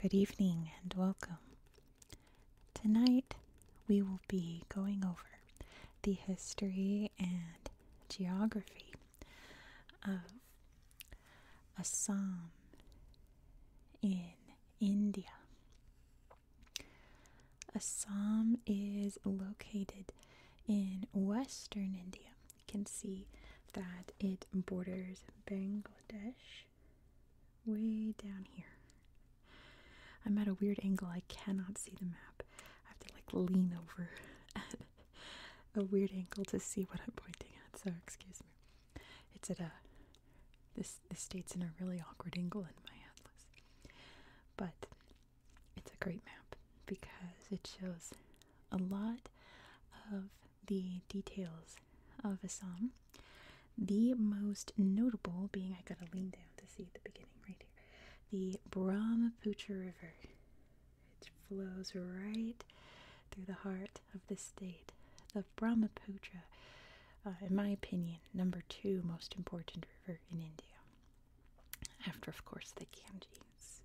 Good evening and welcome. Tonight we will be going over the history and geography of Assam in India. Assam is located in western India. You can see that it borders Bangladesh way down here. I'm at a weird angle. I cannot see the map. I have to like lean over at a weird angle to see what I'm pointing at. So, excuse me. It's at a this this state's in a really awkward angle in my atlas. But it's a great map because it shows a lot of the details of Assam. The most notable being I gotta lean down to see the beginning right here. The Brahmaputra River it flows right through the heart of the state. The Brahmaputra, uh, in my opinion, number two most important river in India. After, of course, the Ganges.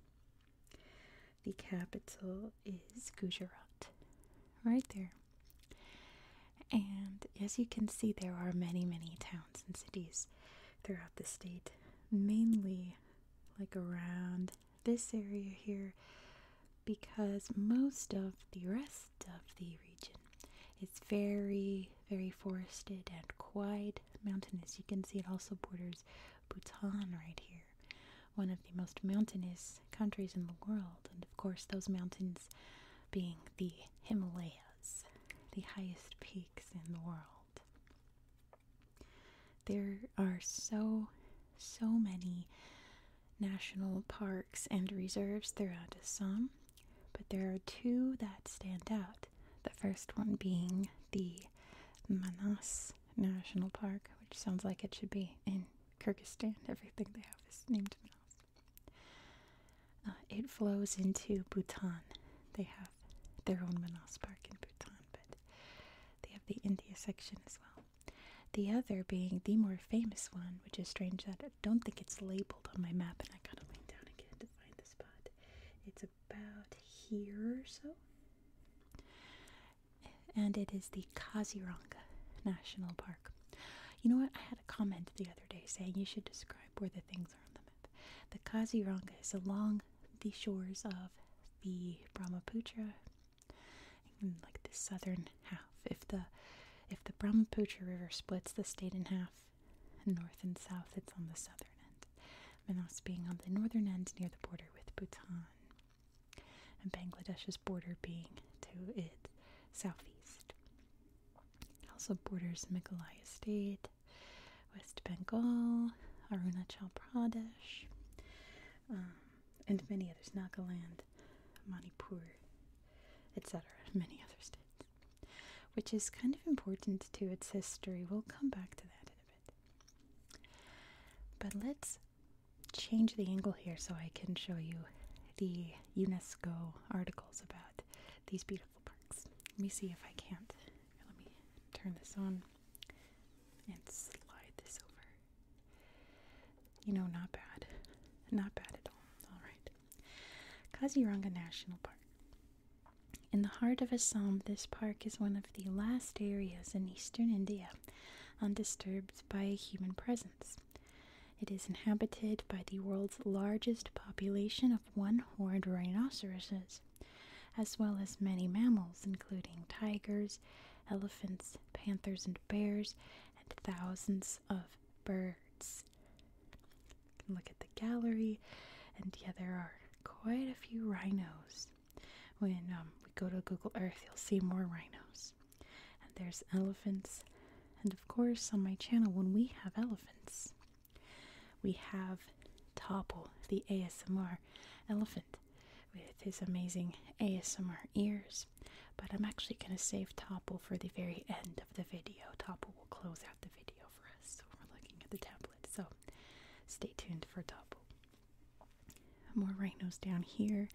The capital is Gujarat, right there. And as you can see, there are many, many towns and cities throughout the state, mainly like around this area here because most of the rest of the region is very, very forested and quite mountainous. You can see it also borders Bhutan right here, one of the most mountainous countries in the world. And of course, those mountains being the Himalayas, the highest peaks in the world. There are so, so many national parks and reserves. throughout Assam, but there are two that stand out. The first one being the Manas National Park, which sounds like it should be in Kyrgyzstan. Everything they have is named Manas. Uh, it flows into Bhutan. They have their own Manas Park in Bhutan, but they have the India section as well. The other being the more famous one, which is strange that I don't think it's labeled on my map, and I gotta lean down again to find the spot. It's about here or so. And it is the Kaziranga National Park. You know what? I had a comment the other day saying you should describe where the things are on the map. The Kaziranga is along the shores of the Brahmaputra like the southern half. If the if the Brahmaputra River splits the state in half, north and south, it's on the southern end. Manaus being on the northern end near the border with Bhutan, and Bangladesh's border being to its southeast. Also borders Meghalaya state, West Bengal, Arunachal Pradesh. Um, and many others, Nagaland, Manipur, etc., many other states, which is kind of important to its history. We'll come back to that in a bit. But let's change the angle here so I can show you the UNESCO articles about these beautiful parks. Let me see if I can't. Let me turn this on and slide this over. You know, not bad. Not bad at all. Alright. Kaziranga National Park. In the heart of Assam, this park is one of the last areas in eastern India undisturbed by human presence. It is inhabited by the world's largest population of one horned rhinoceroses, as well as many mammals, including tigers, elephants, panthers, and bears, and thousands of birds. look at the gallery, and yeah, there are quite a few rhinos. When um, we go to Google Earth, you'll see more rhinos. And there's elephants, and of course, on my channel, when we have elephants, we have Topple, the ASMR elephant with his amazing ASMR ears. But I'm actually going to save Topple for the very end of the video. Topple will close out the video for us. So we're looking at the tablet. So stay tuned for Topple. More rhinos down here.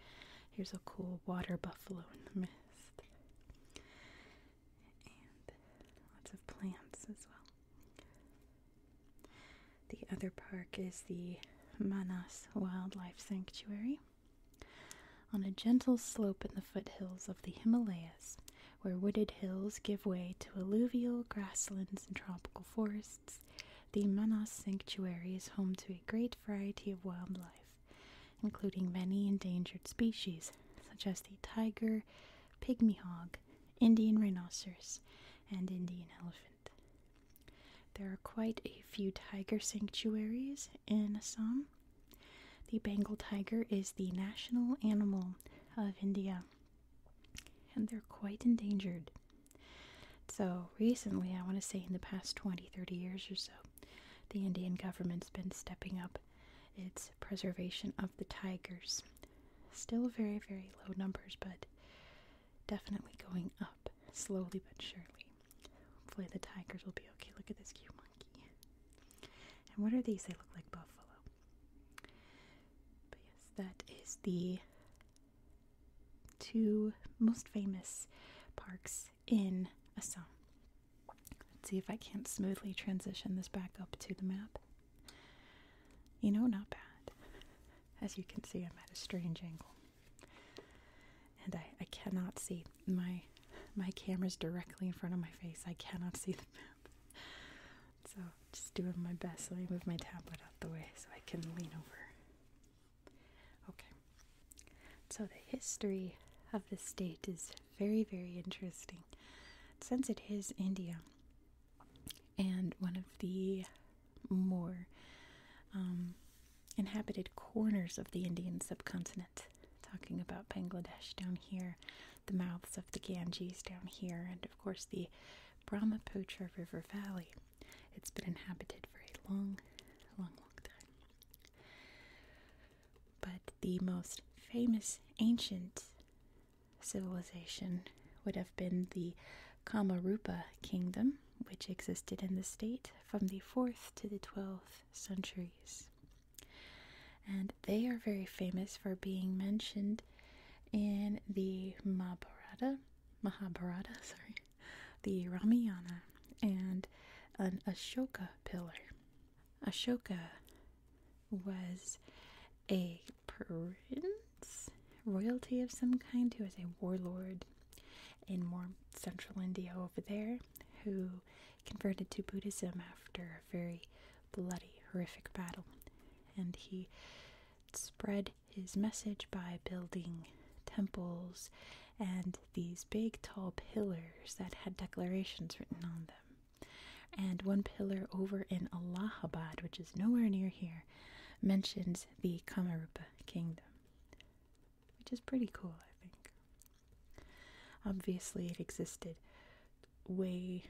Here's a cool water buffalo in the mist. And lots of plants as well. The other park is the Manas Wildlife Sanctuary. On a gentle slope in the foothills of the Himalayas, where wooded hills give way to alluvial grasslands and tropical forests, the Manas Sanctuary is home to a great variety of wildlife, including many endangered species such as the tiger, pygmy hog, Indian rhinoceros, and Indian elephant. There are quite a few tiger sanctuaries in Assam. The Bengal tiger is the national animal of India, and they're quite endangered. So, recently, I want to say in the past 20 30 years or so, the Indian government's been stepping up its preservation of the tigers. Still very, very low numbers, but definitely going up, slowly but surely. Hopefully the tigers will be okay. Look at this cute monkey. And what are these? They look like buffalo. But yes, that is the two most famous parks in Assam. Let's see if I can't smoothly transition this back up to the map. You know, not bad. As you can see, I'm at a strange angle. And I, I cannot see my my camera's directly in front of my face. I cannot see the map. So just doing my best. Let me move my tablet out the way so I can lean over. Okay. So the history of the state is very, very interesting. Since it is India and one of the more um, inhabited corners of the Indian subcontinent. Talking about Bangladesh down here, the mouths of the Ganges down here, and of course the Brahmaputra River Valley. It's been inhabited for a long, long, long time. But the most famous ancient civilization would have been the Kamarupa kingdom, which existed in the state from the 4th to the 12th centuries. And they are very famous for being mentioned in the Mahabharata, Mahabharata, sorry, the Ramayana, and an Ashoka pillar. Ashoka was a prince, royalty of some kind, who was a warlord in more central India over there, who converted to Buddhism after a very bloody, horrific battle. And he spread his message by building temples and these big, tall pillars that had declarations written on them. And one pillar over in Allahabad, which is nowhere near here, mentions the Kamarupa kingdom, which is pretty cool, I think. Obviously, it existed way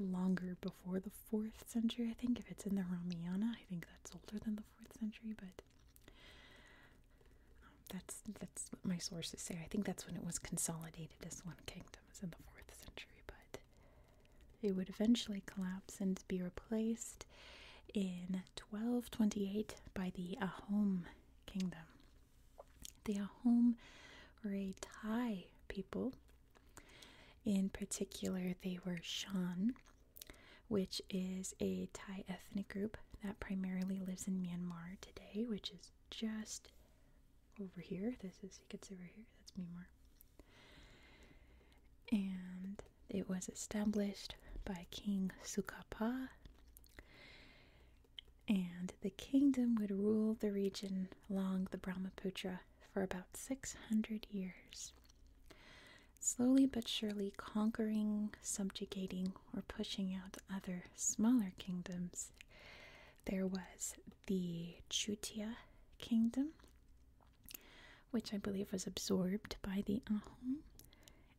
longer before the 4th century, I think. If it's in the Ramayana, I think that's older than the 4th century, but um, that's that's what my sources say. I think that's when it was consolidated as one kingdom, was in the fourth century. But it would eventually collapse and be replaced in 1228 by the Ahom kingdom. The Ahom were a Thai people. In particular, they were Shan, which is a Thai ethnic group that primarily lives in Myanmar today, which is just over here. This is, you can see over here, that's Myanmar. And it was established by King Sukapa, and the kingdom would rule the region along the Brahmaputra for about 600 years, slowly but surely conquering, subjugating, or pushing out other smaller kingdoms. There was the Chutia kingdom, which I believe was absorbed by the Ahom.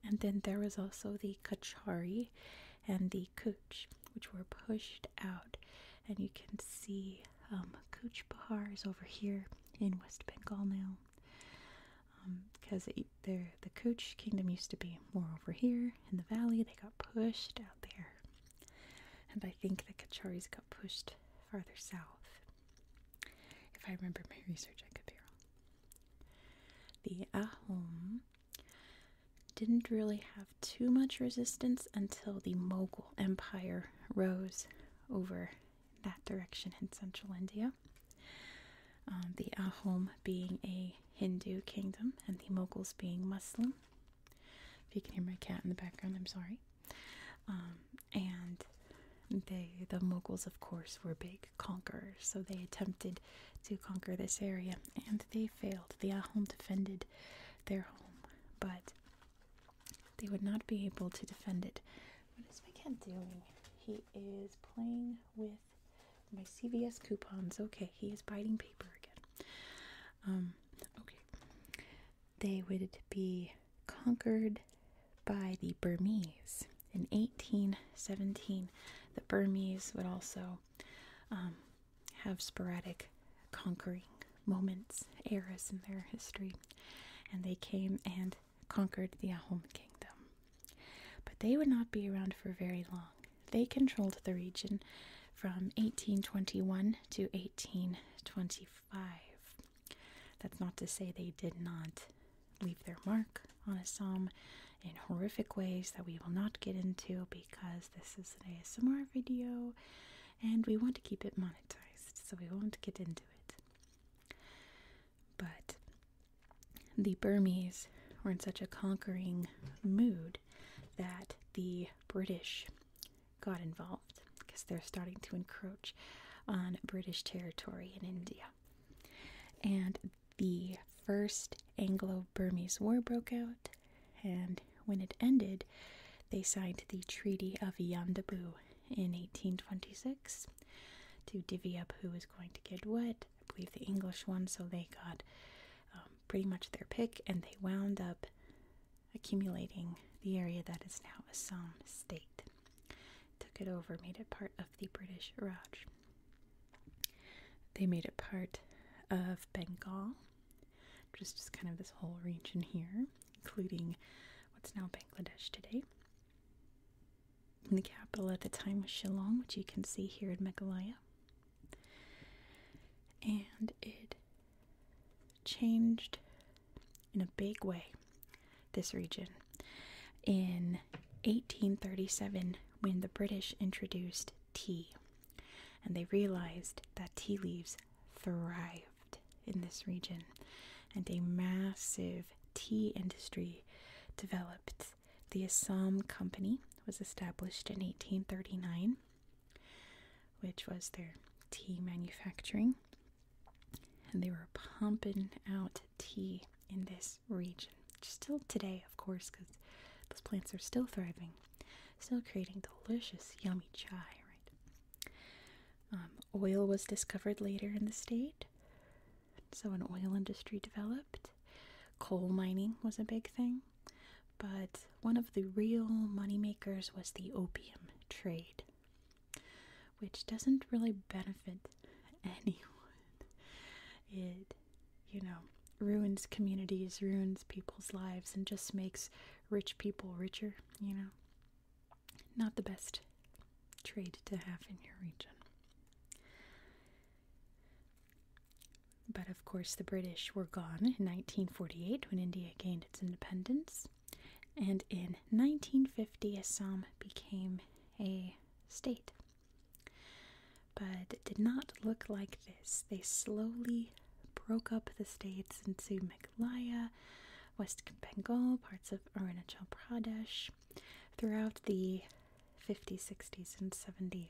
And then there was also the Kachari and the Koch, which were pushed out. And you can see Koch um, Kuch Bahar is over here in West Bengal now. Because um, the Koch kingdom used to be more over here in the valley, they got pushed out there. And I think the Kacharis got pushed farther south. If I remember my research, I could be wrong. The Ahom didn't really have too much resistance until the Mughal Empire rose over that direction in central India. Um, the Ahom being a Hindu kingdom and the Mughals being Muslim. If you can hear my cat in the background, I'm sorry. Um, and they, the Mughals, of course, were big conquerors, so they attempted to conquer this area, and they failed. The Ahom defended their home, but they would not be able to defend it. What is my doing? He is playing with my CVS coupons. Okay, he is biting paper again. Um, okay they would be conquered by the Burmese. In 1817, the Burmese would also um, have sporadic conquering moments, eras in their history, and they came and conquered the Ahom Kingdom. But they would not be around for very long. They controlled the region from 1821 to 1825. That's not to say they did not leave their mark on Assam in horrific ways that we will not get into because this is an ASMR video and we want to keep it monetized, so we won't get into it. But the Burmese were in such a conquering mood that the British got involved because they're starting to encroach on British territory in India. And the first Anglo Burmese War broke out, and when it ended, they signed the Treaty of Yandabu in 1826 to divvy up who was going to get what. I believe the English won, so they got um, pretty much their pick, and they wound up accumulating the area that is now Assam state. Took it over, made it part of the British Raj. They made it part of Bengal, just, just kind of this whole region here, including what's now Bangladesh today. the capital at the time was Shillong, which you can see here in Meghalaya. And it changed in a big way this region in 1837 when the British introduced tea and they realized that tea leaves thrived in this region and a massive tea industry developed. The Assam Company was established in 1839, which was their tea manufacturing and they were pumping out tea in this region. Still today, of course, because those plants are still thriving, still creating delicious, yummy chai, right? Um, oil was discovered later in the state, so an oil industry developed. Coal mining was a big thing, but one of the real moneymakers was the opium trade which doesn't really benefit anyone. It, you know, ruins communities, ruins people's lives, and just makes rich people richer, you know. Not the best trade to have in your region. But of course, the British were gone in 1948 when India gained its independence and in 1950 Assam became a state. But it did not look like this. They slowly broke up the states into Meghalaya, West Bengal, parts of Arunachal Pradesh throughout the 50s, 60s, and 70s.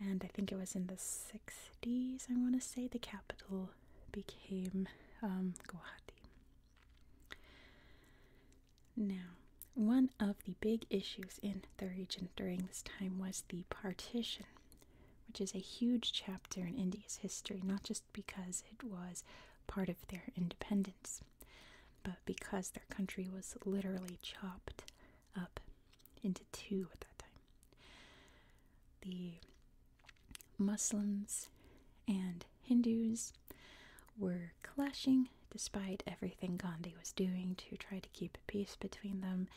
And I think it was in the 60s, I want to say, the capital became um, Guwahati. Now, one of the big issues in the region during this time was the partition, which is a huge chapter in India's history, not just because it was part of their independence, but because their country was literally chopped up into two at that time. Muslims and Hindus were clashing despite everything Gandhi was doing to try to keep peace between them,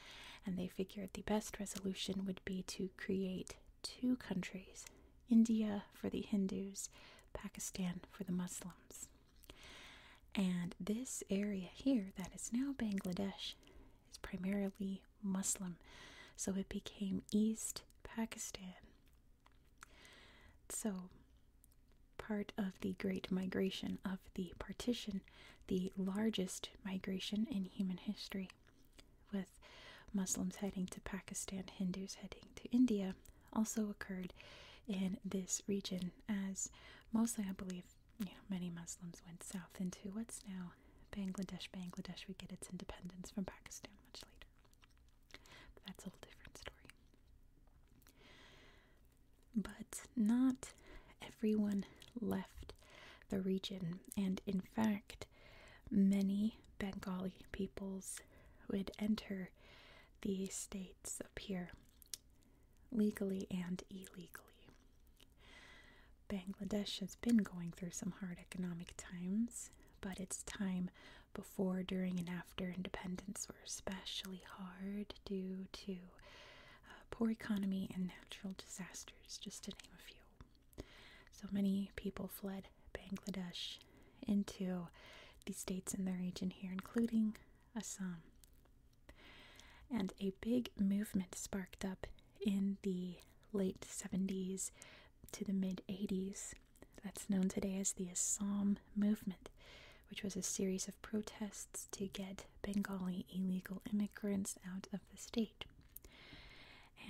and they figured the best resolution would be to create two countries India for the Hindus, Pakistan for the Muslims. And this area here that is now Bangladesh is primarily Muslim, so it became East Pakistan. So, part of the Great Migration of the Partition, the largest migration in human history, with Muslims heading to Pakistan, Hindus heading to India, also occurred in this region, as mostly I believe many Muslims went south into what's now Bangladesh, Bangladesh would get its independence from Pakistan much later. But that's a whole different story. But not everyone left the region, and in fact, many Bengali peoples would enter the states up here legally and illegally. Bangladesh has been going through some hard economic times, but its time before, during, and after independence were especially hard due to uh, poor economy and natural disasters, just to name a few. So many people fled Bangladesh into the states in the region here, including Assam. And a big movement sparked up in the late 70s to the mid 80s that's known today as the Assam Movement, which was a series of protests to get Bengali illegal immigrants out of the state.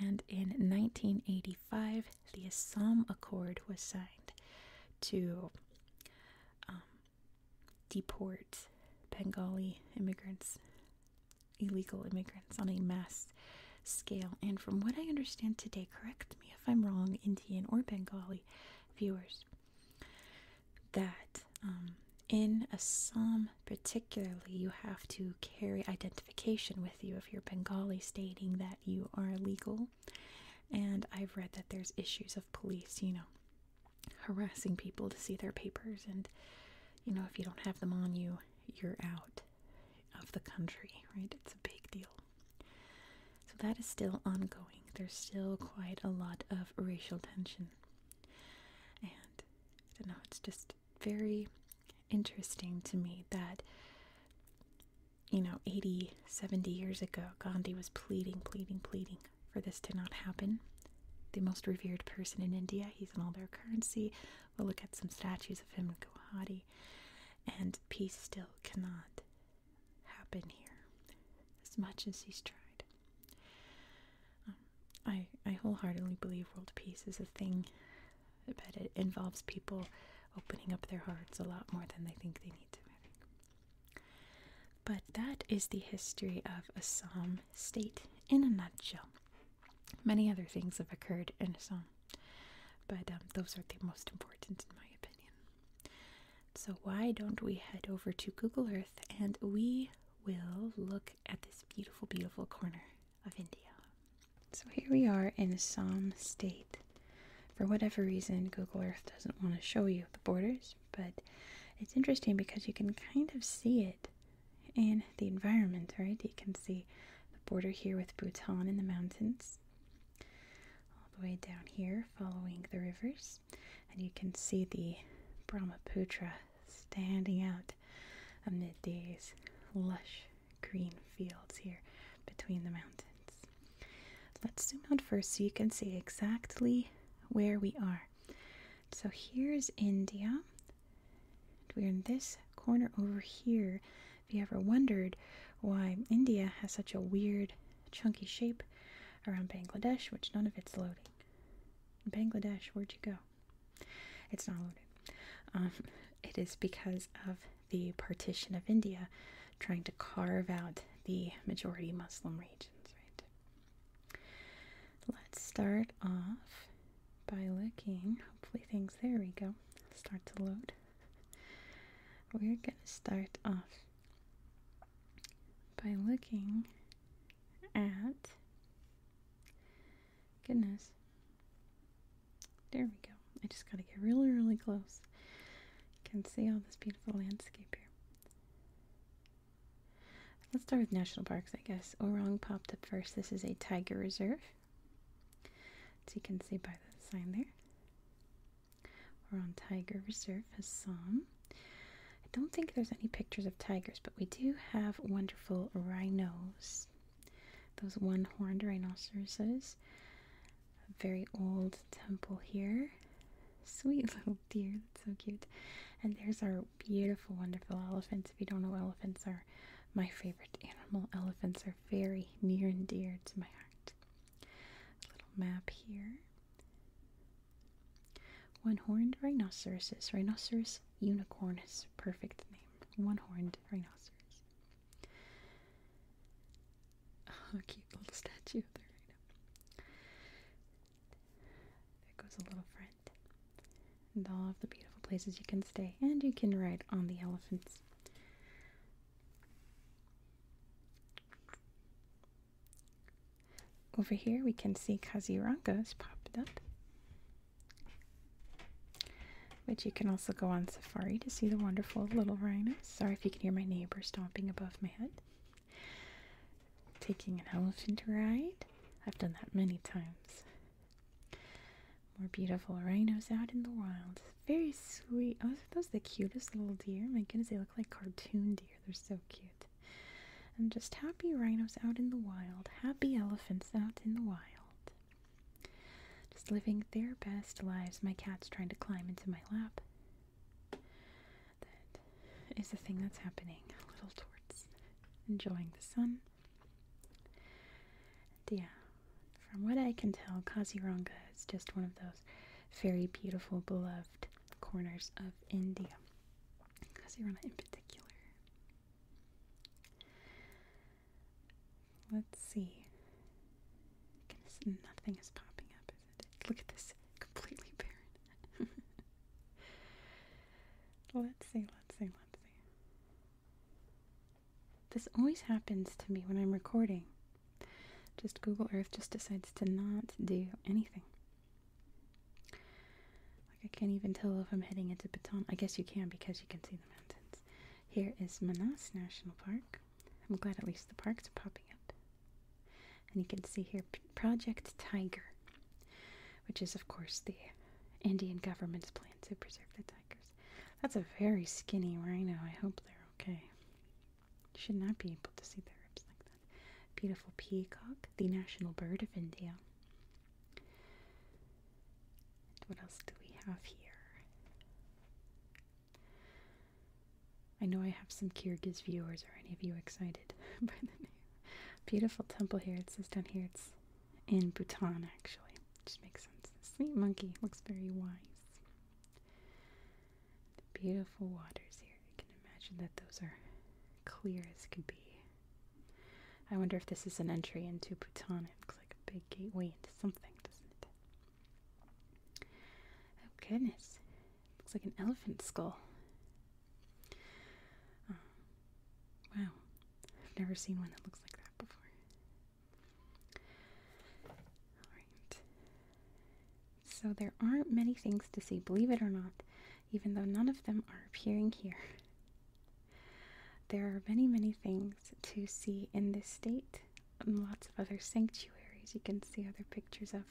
And in 1985, the Assam Accord was signed to um, deport Bengali immigrants illegal immigrants on a mass scale. And from what I understand today, correct me if I'm wrong, Indian or Bengali viewers, that um, in Assam particularly, you have to carry identification with you if you're Bengali, stating that you are legal. And I've read that there's issues of police, you know, harassing people to see their papers and you know if you don't have them on you you're out of the country, right? It's a big deal. So that is still ongoing. There's still quite a lot of racial tension. And I don't know, it's just very interesting to me that, you know, 80, 70 years ago, Gandhi was pleading, pleading, pleading for this to not happen. The most revered person in India, he's in all their currency, We'll look at some statues of him in Guwahati, and peace still cannot happen here as much as he's tried. Um, I, I wholeheartedly believe world peace is a thing, but it involves people opening up their hearts a lot more than they think they need to. But that is the history of Assam State in a nutshell. Many other things have occurred in Assam, but um, those are the most important, in my opinion. So, why don't we head over to Google Earth and we will look at this beautiful, beautiful corner of India? So, here we are in Assam State. For whatever reason, Google Earth doesn't want to show you the borders, but it's interesting because you can kind of see it and the environment, right? You can see the border here with Bhutan in the mountains, all the way down here following the rivers, and you can see the Brahmaputra standing out amid these lush green fields here between the mountains. Let's zoom out first so you can see exactly where we are. So here's India, we're in this corner over here. If you ever wondered why India has such a weird, chunky shape around Bangladesh, which none of it's loading. Bangladesh, where'd you go? It's not loaded. Um, it is because of the partition of India trying to carve out the majority Muslim regions, right? Let's start off by looking, Hopefully things, there we go, start to load. We're gonna start off by looking at, goodness, there we go. I just gotta get really, really close. You can see all this beautiful landscape here. Let's start with national parks, I guess. Orang popped up first. This is a tiger reserve. As you can see by the sign there. We're on Tiger Reserve, as some. I don't think there's any pictures of tigers, but we do have wonderful rhinos. Those one-horned rhinoceroses. A very old temple here. Sweet little deer, that's so cute. And there's our beautiful, wonderful elephants. If you don't know, elephants are my favorite animal. Elephants are very near and dear to my heart. little map here. One-horned rhinoceroses. Rhinoceros unicorn unicornus. Perfect name. One-horned rhinoceros. Oh, cute little statue there. the rhino. There goes a little friend and all of the beautiful places you can stay and you can ride on the elephants over here we can see kaziranga's popped up but you can also go on safari to see the wonderful little rhinos sorry if you can hear my neighbor stomping above my head taking an elephant ride i've done that many times more beautiful rhinos out in the wild. Very sweet. Oh, those are the cutest little deer? My goodness, they look like cartoon deer. They're so cute. And just happy rhinos out in the wild. Happy elephants out in the wild. Just living their best lives. My cat's trying to climb into my lap. That is the thing that's happening. Little torts enjoying the sun yeah, from what I can tell, Kaziranga is just one of those very beautiful, beloved corners of India. Kaziranga in particular. Let's see. nothing is popping up, is it? Look at this, completely barren. Let's see, let's see, let's see. This always happens to me when I'm recording. Just Google Earth just decides to not do anything. Like I can't even tell if I'm heading into Baton. I guess you can because you can see the mountains. Here is Manas National Park. I'm glad at least the parks are popping up. And you can see here Project Tiger which is, of course, the Indian government's plan to preserve the tigers. That's a very skinny rhino. I hope they're okay. You should not be able to see their ribs like that. Beautiful peacock, the national bird of India. what else do we have here? I know I have some Kyrgyz viewers. or any of you excited by the name? Beautiful temple here. It says down here it's in Bhutan, actually. just makes sense. The sleep monkey looks very wise. The beautiful waters here. I can imagine that those are clear as could be. I wonder if this is an entry into Bhutan. It looks like a big gateway into something, doesn't it? Oh, goodness. looks like an elephant skull. Oh. wow, I've never seen one that looks like that before. Alright. So there aren't many things to see, believe it or not, even though none of them are appearing here. There are many, many things to see in this state and lots of other sanctuaries you can see other pictures of.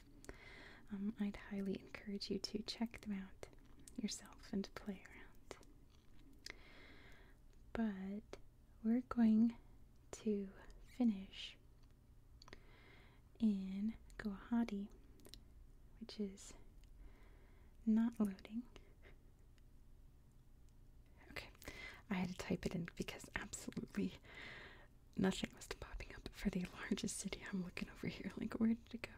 Um, I'd highly encourage you to check them out yourself and play around. But we're going to finish in Guwahati, which is not loading. Okay, I had to type it in because absolutely nothing was popping up for the largest city. I'm looking over here, like, where did it go?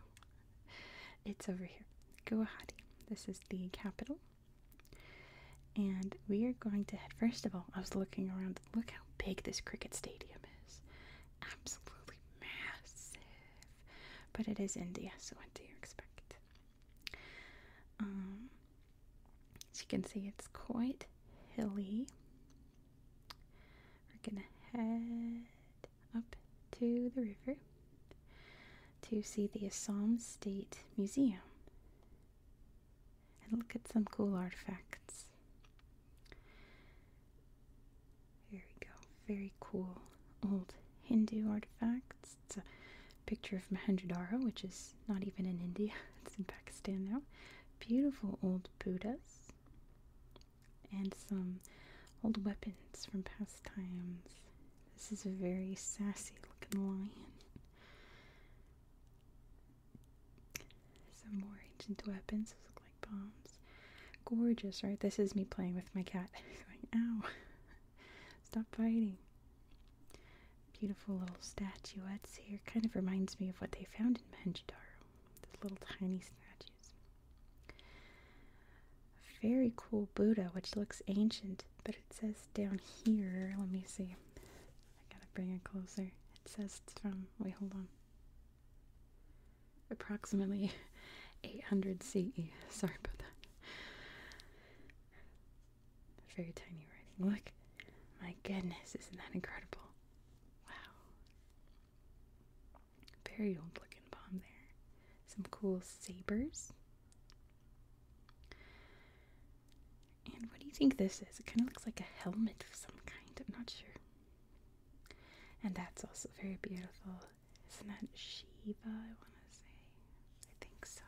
it's over here. Guwahati. This is the capital. And we are going to head. First of all, I was looking around. Look how big this cricket stadium is. Absolutely massive. But it is India, so what do you expect? Um, as you can see, it's quite hilly. We're gonna head up to the river to see the Assam State Museum and look at some cool artifacts. Here we go. Very cool old Hindu artifacts. It's a picture of mohenjo which is not even in India. It's in Pakistan now. Beautiful old Buddhas and some old weapons from past times. This is a very sassy looking lion. Some more ancient weapons, look like bombs. Gorgeous, right? This is me playing with my cat. going, ow, stop fighting. Beautiful little statuettes here. Kind of reminds me of what they found in Manjadaro. Those little tiny statues very cool Buddha, which looks ancient, but it says down here. Let me see. I gotta bring it closer. It says from. Wait, hold on. Approximately 800 CE. Sorry about that. Very tiny writing. Look. My goodness, isn't that incredible? Wow. Very old looking bomb there. Some cool sabers. And what do you think this is? It kind of looks like a helmet of some kind. I'm not sure. And that's also very beautiful. Isn't that Shiva, I want to say? I think so.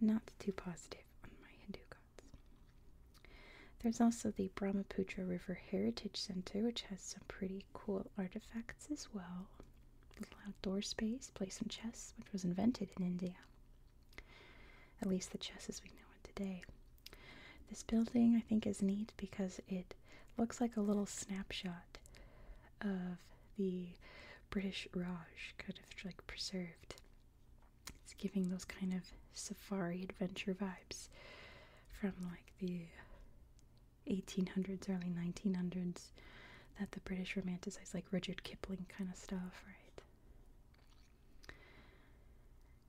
Not, not too positive on my Hindu gods. There's also the Brahmaputra River Heritage Center, which has some pretty cool artifacts as well. Little Outdoor space, play some chess, which was invented in India. At least the chess as we know it today. This building I think is neat because it looks like a little snapshot of the British Raj, kind of like preserved. It's giving those kind of safari adventure vibes from like the 1800s, early 1900s that the British romanticized, like Richard Kipling kind of stuff, right?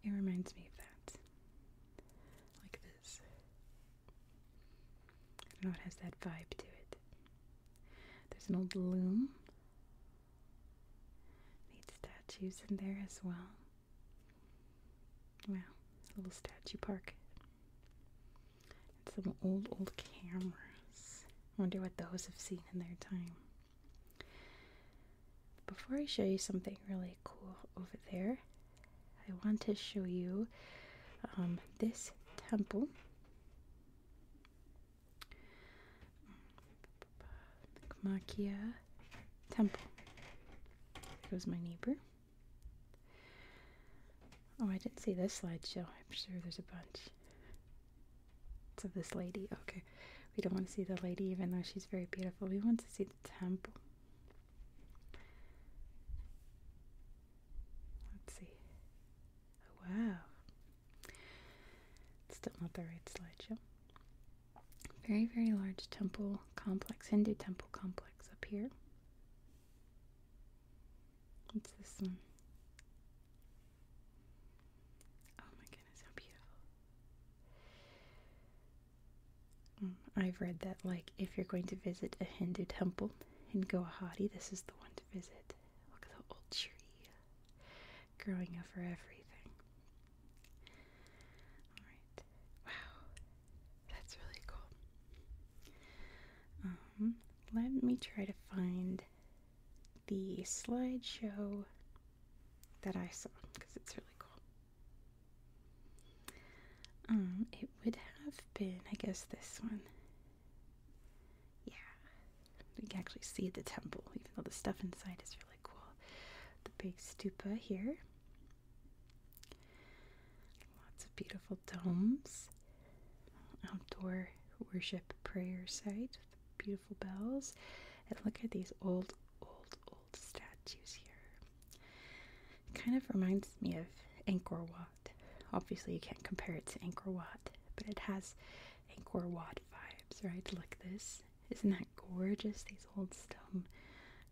It reminds me of that. Like this. know, it has that vibe to it. There's an old loom. Neat statues in there as well. Wow, little statue park. And some old, old cameras. Wonder what those have seen in their time. Before I show you something really cool over there, I want to show you um, this temple. The Temple. There goes my neighbor. Oh, I didn't see this slideshow. I'm sure there's a bunch. It's of this lady. Okay. We don't want to see the lady, even though she's very beautiful. We want to see the temple. Let's see. Oh, wow. still not the right slideshow. Very, very large temple complex, Hindu temple complex up here. What's this one? Oh my goodness, how beautiful. Mm, I've read that, like, if you're going to visit a Hindu temple in Guwahati, this is the one to visit. Look at the old tree growing over everything. Alright. Wow. That's really cool. Um, let me try to find the slideshow that I saw because it's really cool. Um, it would have been, I guess, this one. Yeah, you can actually see the temple, even though the stuff inside is really cool. The big stupa here, Lots of beautiful domes, outdoor worship prayer site, with beautiful bells, and look at these old, old, old statues here. kind of reminds me of Angkor Wat. Obviously, you can't compare it to Angkor Wat, but it has Angkor Wat vibes, right? Look this. Isn't that gorgeous? These old stone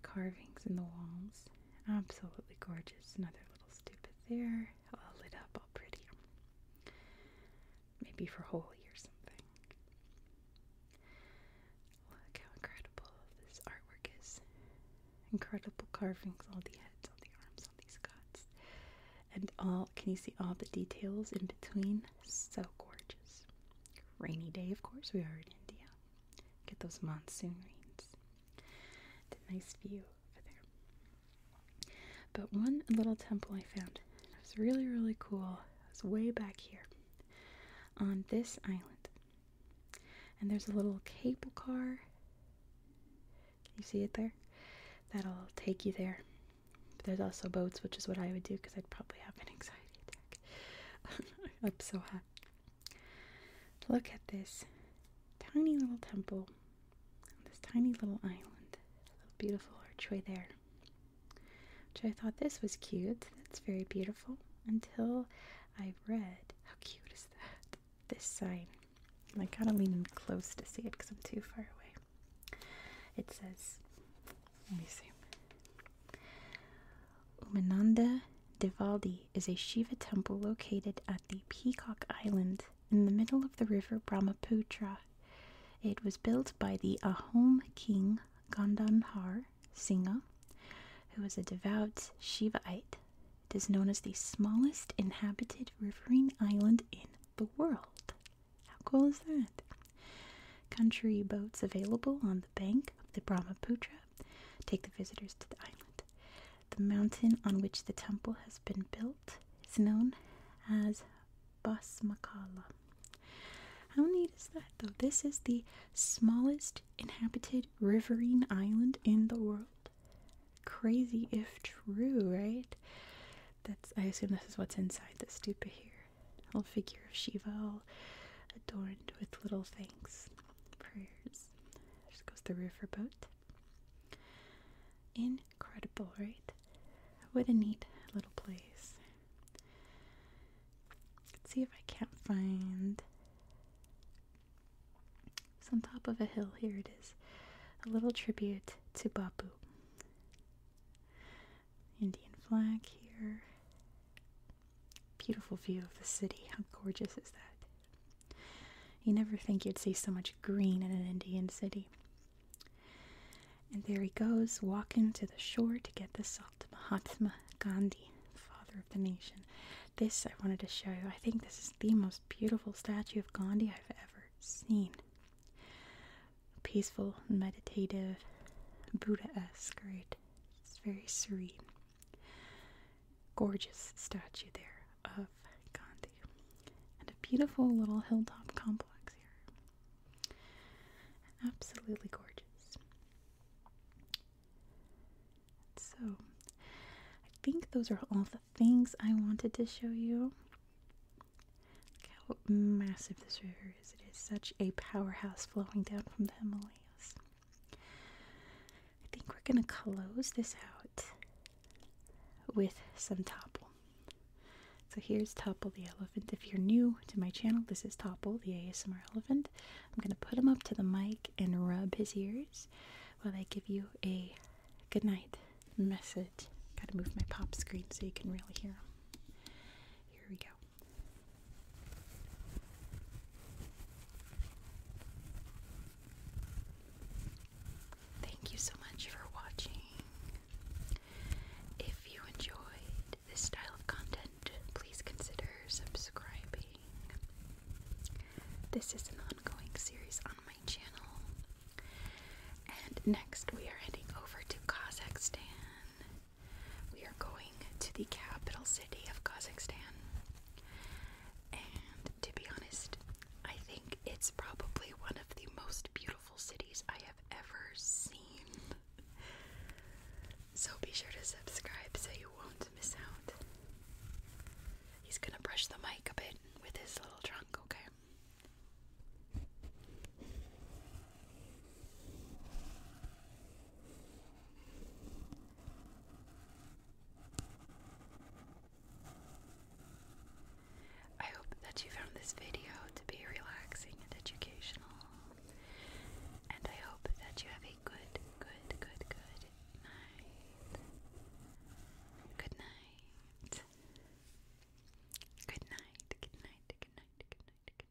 carvings in the walls. Absolutely gorgeous. Another little stupid there, all lit up, all pretty. Maybe for holy or something. Look how incredible this artwork is. Incredible carvings, all the heads, all the arms, all these gods. And all, can you see all the details in between? So gorgeous. Rainy day, of course, we are in India. Get those monsoon rains. a nice view over there. But one little temple I found, it was really, really cool. It was way back here on this island. And there's a little cable car. you see it there? That'll take you there. But there's also boats, which is what I would do because I'd probably have an anxiety attack. I'm so hot. Look at this tiny little temple on this tiny little island. A beautiful archway there. Which I thought this was cute. That's very beautiful. Until I read, how cute is that? This sign. I gotta lean in close to see it because I'm too far away. It says, let me see. Umananda Devaldi is a Shiva temple located at the Peacock Island in the middle of the river Brahmaputra. It was built by the Ahom king Gandhanhar Singha, who was a devout Shivaite. It is known as the smallest inhabited riverine island in the world. How cool is that? Country boats available on the bank of the Brahmaputra take the visitors to the island. The mountain on which the temple has been built is known as Basmakala. How neat is that, though? This is the smallest inhabited riverine island in the world. Crazy if true, right? That's I assume this is what's inside the stupa here. A little figure of Shiva all adorned with little things prayers. Just goes the riverboat. Incredible, right? What a neat little place. Let's see if I can't find. It's on top of a hill. Here it is. A little tribute to Babu. Indian flag here. Beautiful view of the city. How gorgeous is that? You never think you'd see so much green in an Indian city. And there he goes, walking to the shore to get the salt. Mahatma Gandhi, father of the nation. This I wanted to show you. I think this is the most beautiful statue of Gandhi I've ever seen. Peaceful, meditative, Buddha esque, right? It's very serene. Gorgeous statue there of Gandhi. And a beautiful little hilltop complex here. Absolutely gorgeous. So, I think those are all the things I wanted to show you. Look how massive this river is. It is such a powerhouse flowing down from the Himalayas. I think we're going to close this out with some Topple. So here's Topple the Elephant. If you're new to my channel, this is Topple the ASMR Elephant. I'm going to put him up to the mic and rub his ears while I give you a good night message. Gotta move my pop screen so you can really hear him. Here we go. Thank you so much for watching. If you enjoyed this style of content, please consider subscribing. This is an ongoing series on my channel. And next, we are heading over to Kazakhstan we are going to the capital city of Kazakhstan. And to be honest, I think it's probably one of the most beautiful cities I have ever seen. So be sure to subscribe so you won't miss out. He's gonna brush the mic a bit with his little trunk, okay? I hope that you found this video to be relaxing and educational. And I hope that you have a good, good, good, good night. Good night. Good night. Good night. Good night. Good night. Good night. Good night. Good night.